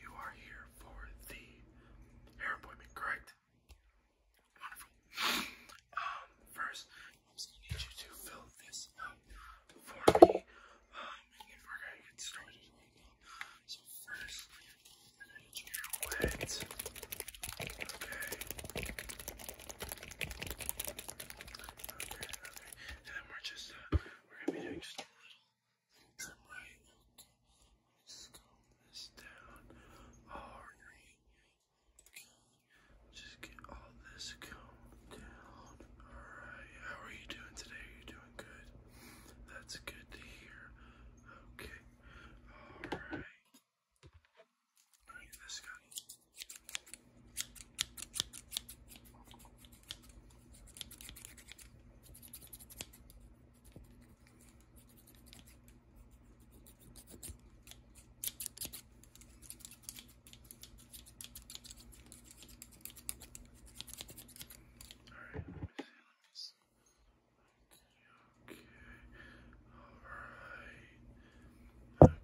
you are here for the hair appointment, correct? Wonderful. Um, first, I'm gonna need you to fill this out for me. and um, then we're gonna get started So first, need you wet. Okay. Okay, And then we're just uh, we're gonna be doing just a little Somebody look and scope this down. Alright, just get all this combed down. Alright, how are you doing today? Are you doing good? That's good to hear. Okay, alright. Alright, this guy. Alright, let me see, let me see. Okay, alright. Okay. Alright,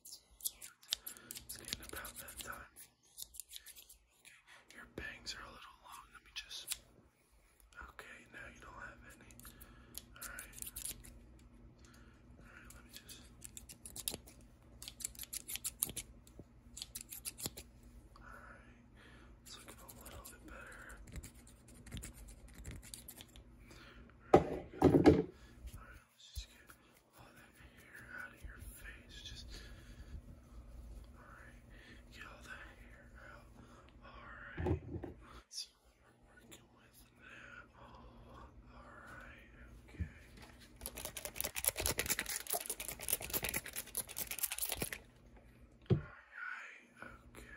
it's about that time. Your bangs are a little long. Let me just. Okay, now you don't have any. Alright. Alright, let me just. Alright, it's looking a little bit better. Alright, Alright, let's just get. All that hair out of your face. Just alright. Get all that hair out. Alright. See what we're working with now. Alright, okay. Alright, okay.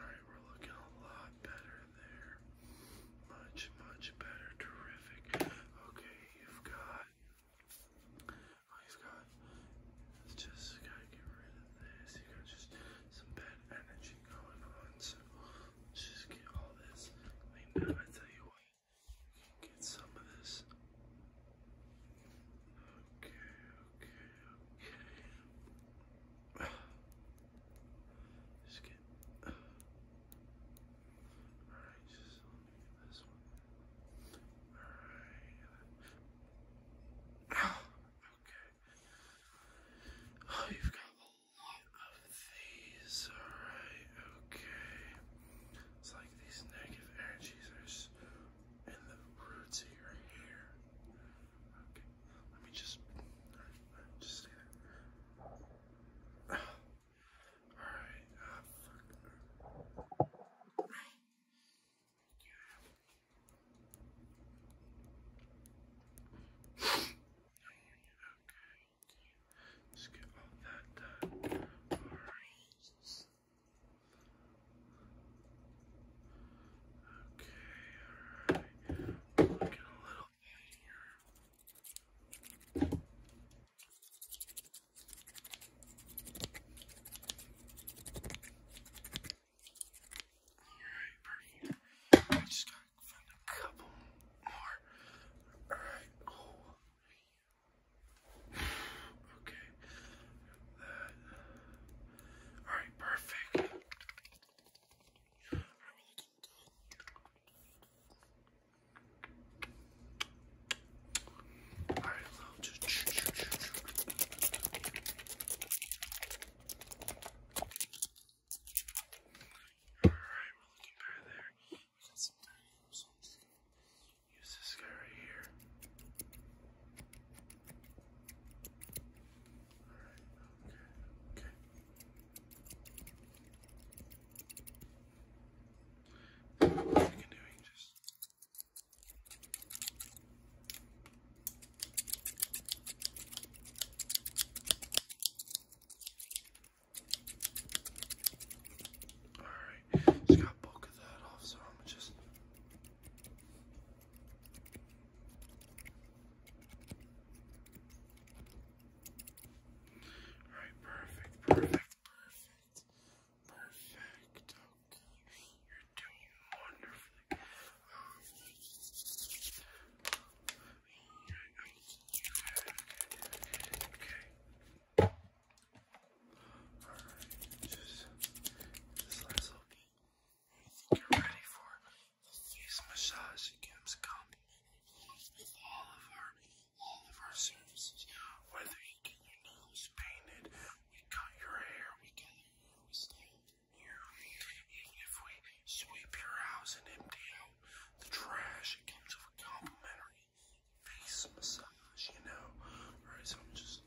Alright, we're looking a lot better there. Much, much better. Terrific. Okay, you've got. you've oh, got. It's just gotta get rid of this. You got just some bad energy going on. So just get all this. I mean, I tell you what, get some of this. Okay, okay, okay. Just get. Alright, just this one. Alright. Okay. Oh, you've got a lot of these. Alright, okay. It's like these negative energies are in the roots of your hair. Okay. Let me just, just stay there. All right. Okay. Just get all that done. All right. Okay, alright area. Alright, pretty. I just gotta find a couple more. Alright, cool. Okay. Alright, perfect. Alright, we'll look at all right, well, just All right, we're looking better there. We got some tiny so I'm just gonna use this guy right here. Okay, okay. You can do it just Alright, just got bulk of that off, so I'm just all right, perfect, perfect, perfect, perfect. Okay, you're doing wonderfully. Okay. All right, just this last little Get ready for the face massage. It gives with all of our all of our services. Whether you get your nose painted, we cut your hair, we get your hair, Even if we sweep your house and empty out the trash, it comes with a complimentary face massage, you know. Alright, so just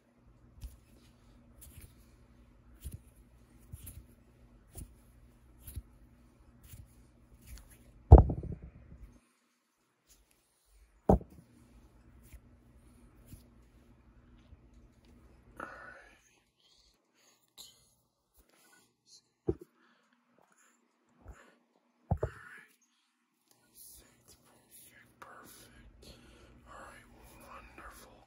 Perfect. All right, wonderful.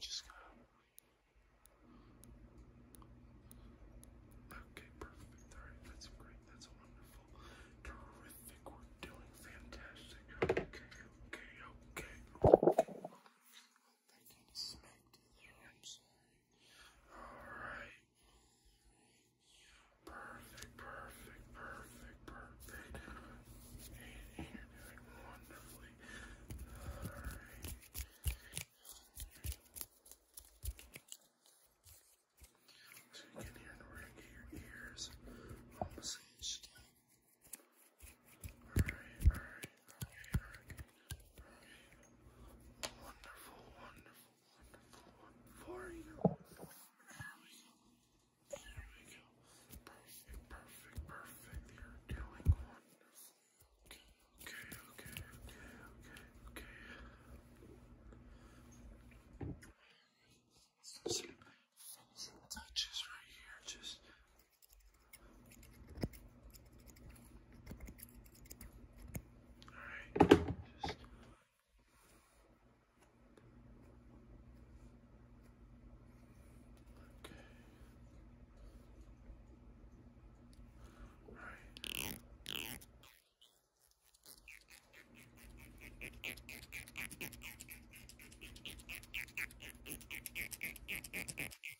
Just go. Okay, perfect. All right, that's great. That's wonderful. Terrific. We're doing fantastic. Okay, okay, okay. That kind of smacked it there. Alright. Perfect, perfect, perfect, perfect. And, you're doing wonderfully. Alright. So you can hear the ring your ears. All Alright, Wonderful, wonderful, wonderful, wonderful. There we we go. Perfect, perfect, perfect. You're doing wonderful. Okay, okay, okay, okay, okay, okay. touches right here, just all right, just... Okay. All right.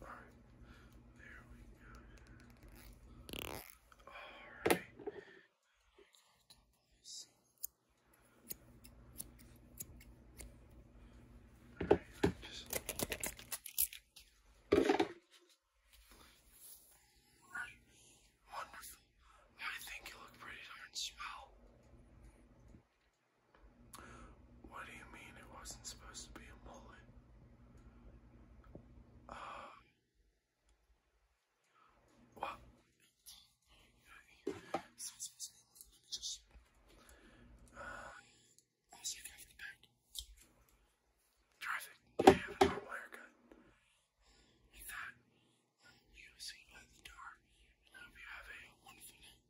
Alright. There we go. Alright. i Wonderful. I think you look pretty darn swell. What do you mean it wasn't supposed to be a mullet? Uh, Traffic. I have a normal haircut. With that, we will see you the door, I hope you have a wonderful night.